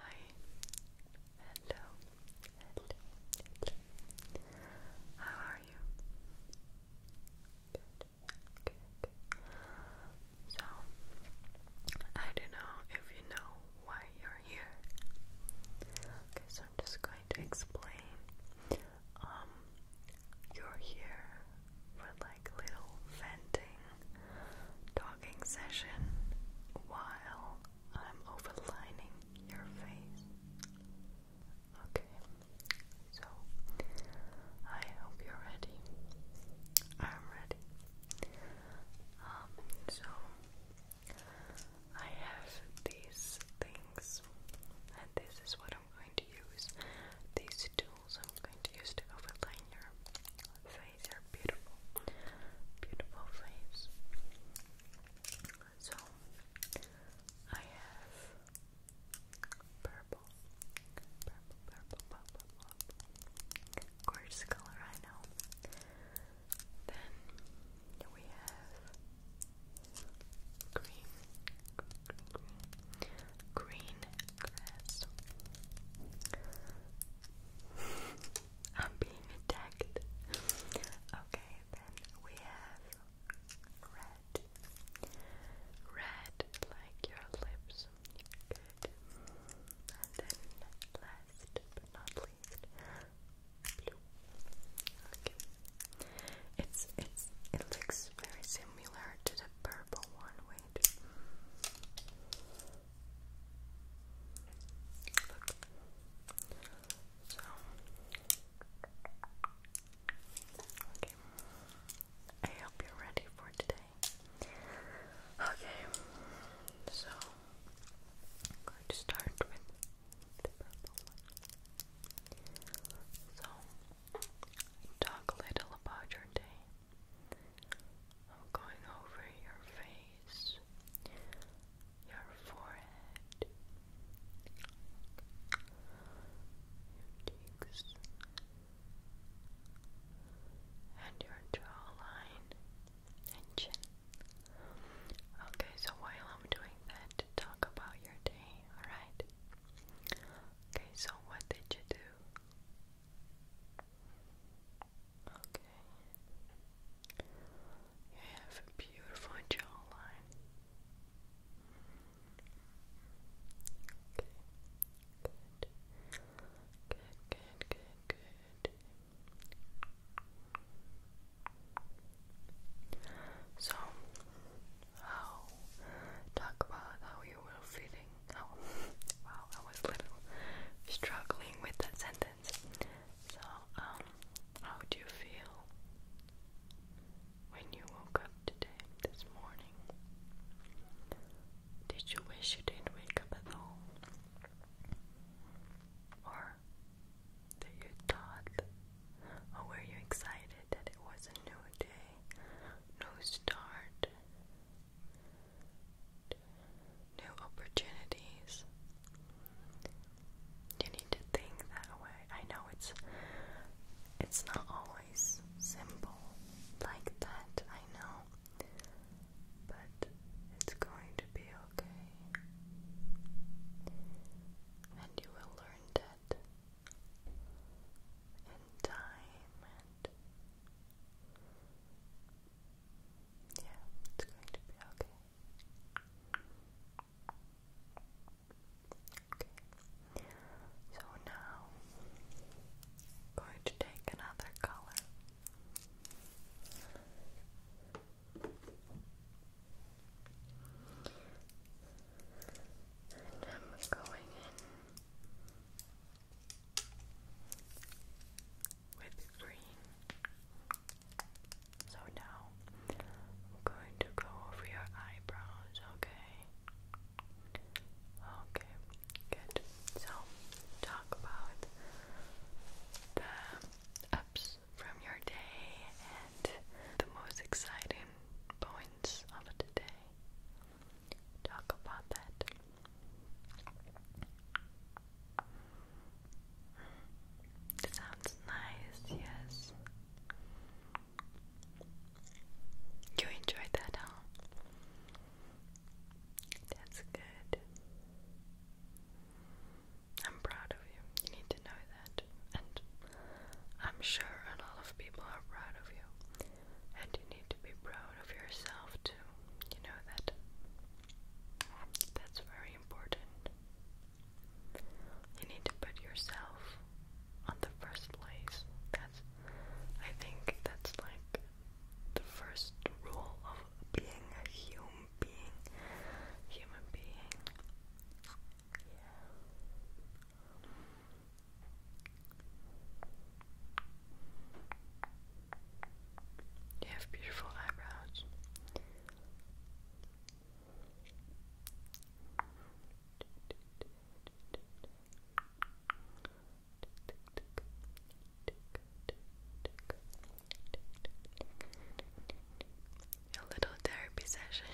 Hi. Hello. Hello. How are you? Good. Good. So, I don't know if you know why you're here. Okay, so I'm just going to explain. Um, you're here for like little venting talking session while I'm overlining your face. Okay, so I hope you're ready. I'm ready. Um, so I have these things, and this is what I'm going to use. These tools I'm going to use to overline your face, are beautiful, beautiful face. So I have purple, purple, purple, purple, purple. Gorgeous color, I know. Then we have green, green, green grass. I'm being attacked. Okay, then we have red. Red, like your lips. Good. And then last but not least, blue. Okay. It's it's it looks very similar to the purple one. Wait. Look. So. Okay. I hope you're ready for today. Okay. So, I'm start with So, talk a little about your day. I'm going over your face, your forehead, your cheeks, and your jawline and chin. Okay, so while I'm doing that, talk about your day, alright? Okay, so what did you do? Okay. You have a beautiful jawline. Okay. Good. Good, good, good, So, how talk about how you were feeling Oh, wow, I was little struggling with that sentence. So, um, how do you feel when you woke up today, this morning? Did you wish you didn't wake up at all? Or that you thought, or were you excited that it was a new day, new start? new opportunities. You need to think that way. I know it's it's not always simple like that, I know. But it's going to be okay. And you will learn that in time yeah, it's going to be okay. Okay. So now going to take another color. And I'm going in with green. So now I'm going to go over your eyebrows, okay? Okay, good. So talk about the ups from your day and the most exciting points of the day. Talk about that. Sounds nice, yes. You enjoyed that, huh? That's good. I'm proud of you. You need to know that. And I'm sure a lot of people are proud of you. And you need to be proud of yourself too. You know that. That's very important. You need to put yourself on the first place. That's, I think, that's like the first rule of being a human being. Human being. Yeah. You have beautiful eyebrows. A little therapy session.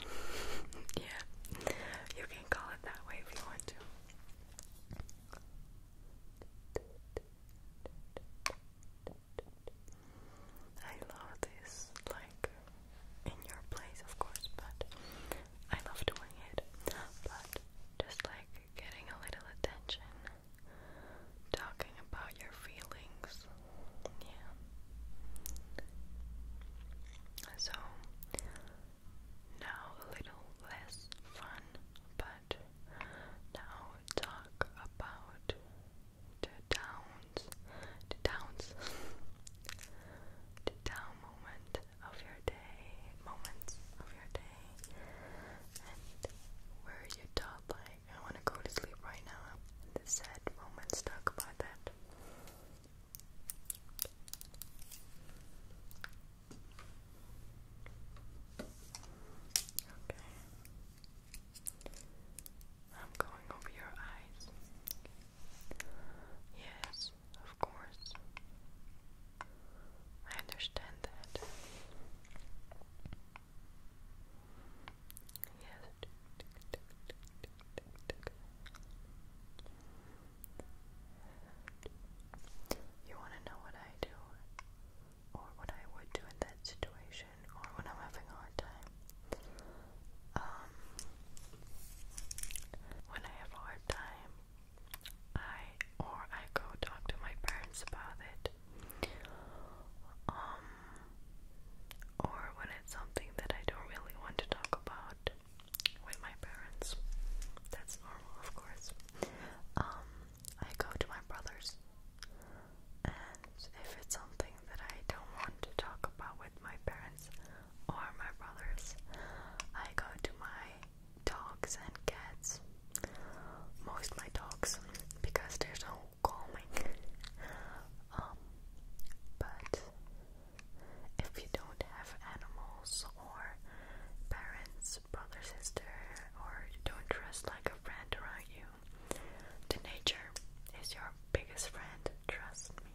yeah, you can call it that way if you want to. I love this, like in your place, of course, but I love doing it. But just like getting a little attention, talking about your feelings, yeah. So now a little less fun, but but now talk about the downs, the downs, the down moment of your day, moments of your day, and where you thought like I want to go to sleep right now. The sad moments. Talk about that. Okay. I'm going over your eyes. Yes, of course. I understand that. Yes. You want to know what I do? or what I would do in that situation or when I'm having a hard time. Um, when I have a hard time, I or I go talk to my parents about it. Um, or when it's something that I don't really want to talk about with my parents. That's normal, of course. Um, I go to my brother's. And if it's something that I don't want to talk about with my parents or my brothers, I go to my dogs and cats. Most my dogs because they're so calming. um, but if you don't have animals or parents, brother, sister, or don't dress like a friend around you. The nature is your biggest friend, trust me.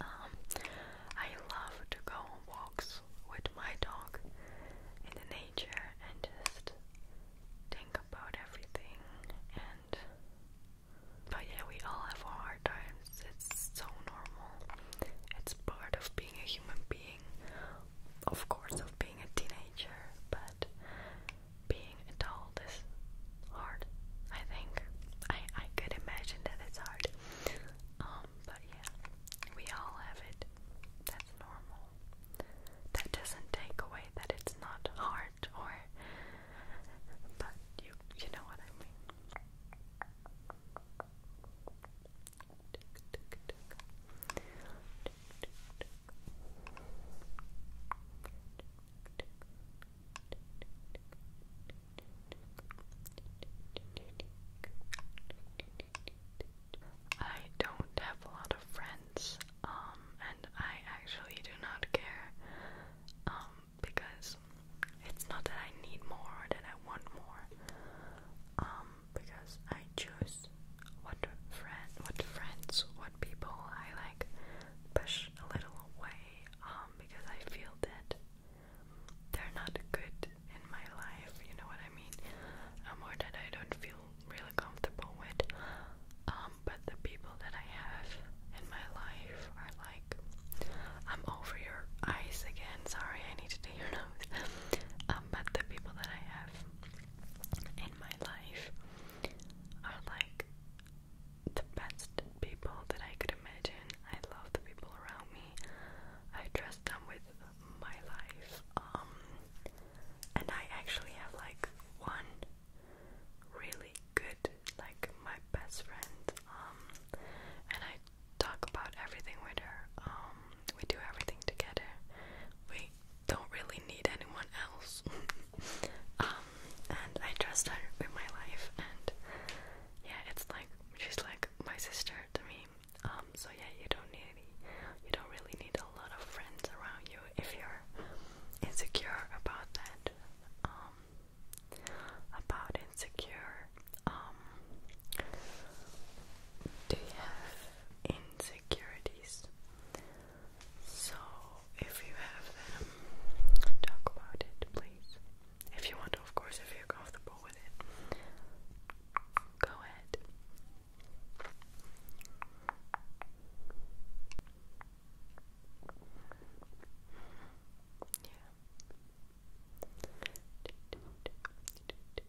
Um, I love to go on walks with my dog in the nature and just think about everything and but yeah, we all have our hard times. It's so normal. It's part of being a human being of course, of being a teenager, but being adult is hard. I think I I could imagine that it's hard. Um, but yeah, we all have it. That's normal. That doesn't take away that it's not hard, or but you you know what I mean. I don't have a lot of friends, um, and I actually do not care, um, because it's not that I need more than I want more. Um, because I choose what friend, what friends, what people I like push a little away um, because I feel that they're not good in my life. You know what I mean? Um, or that I don't feel really comfortable with. Um, but the people that I have in my life are like, I'm over your eyes again. Sorry, I need to your nose. Um, but the people that I have in my life are like the best people that I could imagine. I love the people around me. I trust them with my life. Um, and I actually have like one really good, like my best friend. Um, and I talk about everything with her. Um, we do everything together. We don't really need anyone else. um, and I trust her with my life, and yeah, it's like she's like my sister to me. Um, so yeah, you don't need any, you don't really need a lot of friends around you if you're insecure about that. Um, about insecure um, do you have insecurities? So, if you have them, talk about it, please. If you want of course, if you're comfortable with it, go ahead. Yeah.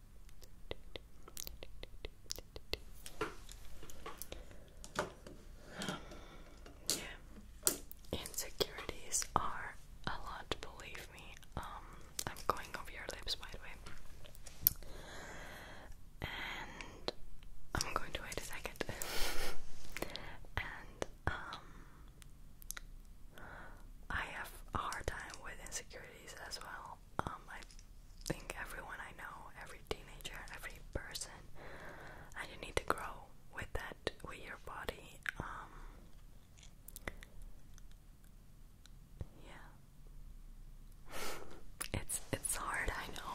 Yeah. Insecurities are a lot, believe me. Um, I'm going over your lips, by the way. And I'm going to wait a second. and um I have a hard time with insecurities as well um, I think everyone I know, every teenager, every person, and you need to grow with that, with your body. Um, yeah, it's it's hard, I know,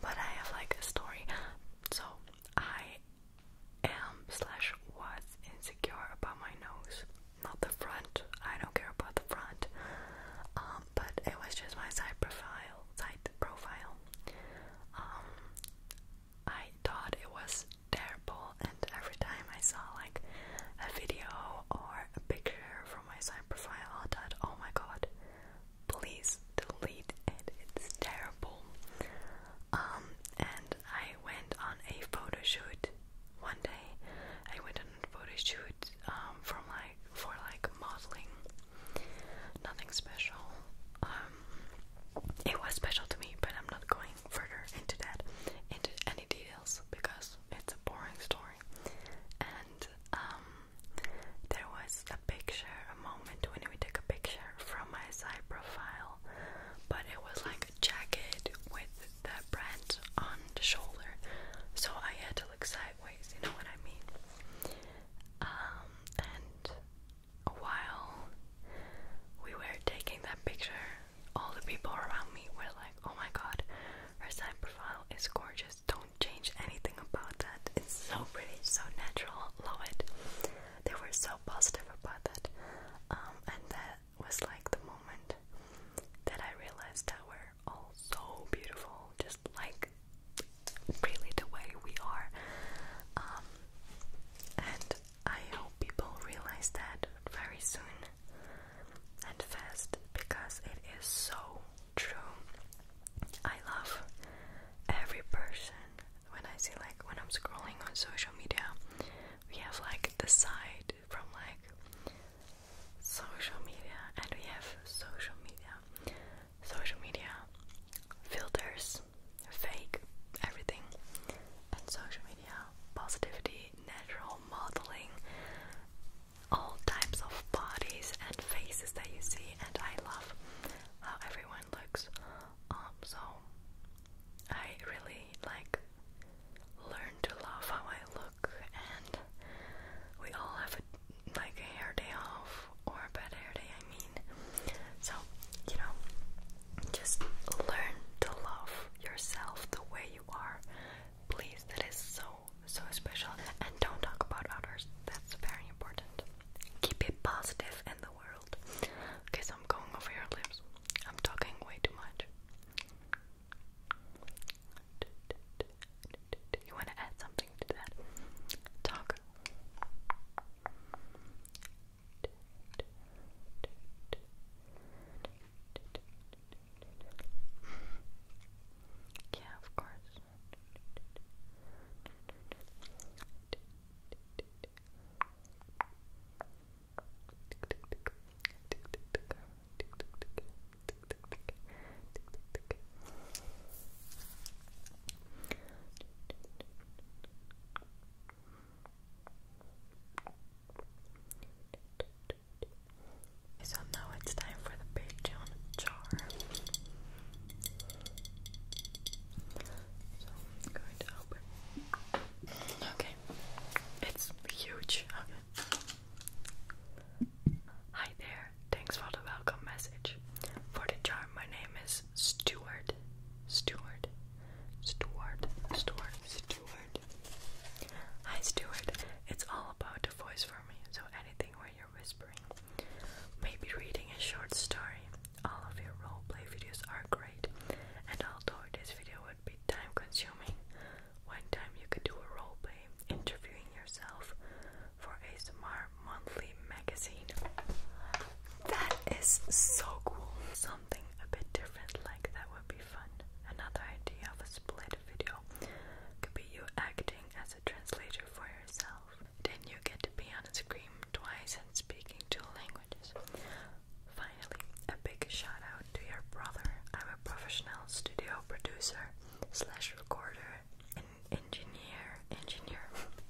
but I have like a story. So I am slash was insecure about my nose not the front. I don't care about the front. Um, but it was just my side profile, side profile. Um, I thought it was terrible, and every time I saw like a video or a picture from my side profile, I thought, oh my god, please delete it. It's terrible. Um, and I went on a photo shoot one day. I went on a photo shoot um, from like for like modeling. Nothing special. Um, it was special to me, but I'm not going further into that, into any details because it's a boring story. And um, there was a picture, a moment when we took a picture from my side profile, but it was like a jacket with that brand on the shoulder, so I had to look sideways, you know what I mean? Um, and while we were taking that picture, all the people around me were like, oh my god, her side profile is gorgeous, don't change anything about that, it's so pretty, so natural, love it. They were so positive about that. Um, and that was like the moment that I realized that we're all so beautiful, just like really the way we are. Um, and I hope people realize that very soon and fast because it is so true. I love every person when I see, like, when I'm scrolling on social media, we have like the side from like social media, and we have social media, social media filters, fake, everything, and social media positivity, natural modeling, all types of bodies and faces that you see, and I love how everyone looks. Um, so I really like learn to love how I look and we all have like a hair day off or a bad hair day I mean so you know just learn to love yourself the way you are please that is so so special and don't talk about others that's very important keep it positive in the world okay I'm going over your lips I'm talking way too much you want to add something to that? Taco. Yeah, of course. So now it's time for the Patreon jar. So going to open. Okay, it's huge. Hi there. Thanks for the welcome message. For the charm, my name is Stuart. Stuart. Stuart. Stuart. Stuart. Hi Stuart. It's all about the voice for me, so anything where you're whispering. Maybe reading a short story. All of your roleplay videos are great, and although this video would be time consuming. One time you could do a role play interviewing yourself for a ASMR Monthly magazine. That is so cool. Something a bit different like that would be fun. Another idea of a split video could be you acting as a translator for yourself. Then you get to be on a screen twice and speaking two languages. Finally, a big shout out to your brother. I'm a professional studio producer slash recorder and engineer engineer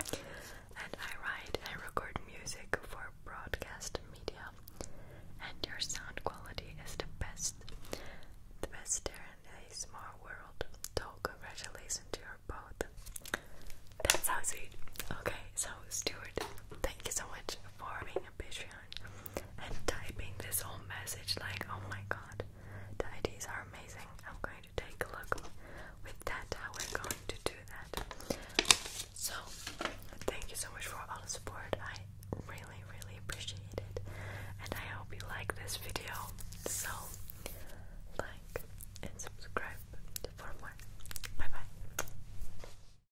and I write and record music for broadcast media and your sound quality is the best. The best there in a small world. So congratulations to your both. That's how sweet. Okay, so Stuart, thank you so much for being a patron and typing this whole message like, oh my god, the are amazing. I'm going to take a look with that how we're going to do that. So thank you so much for all the support. I really, really appreciate it. And I hope you like this video. So like and subscribe for more. Bye bye.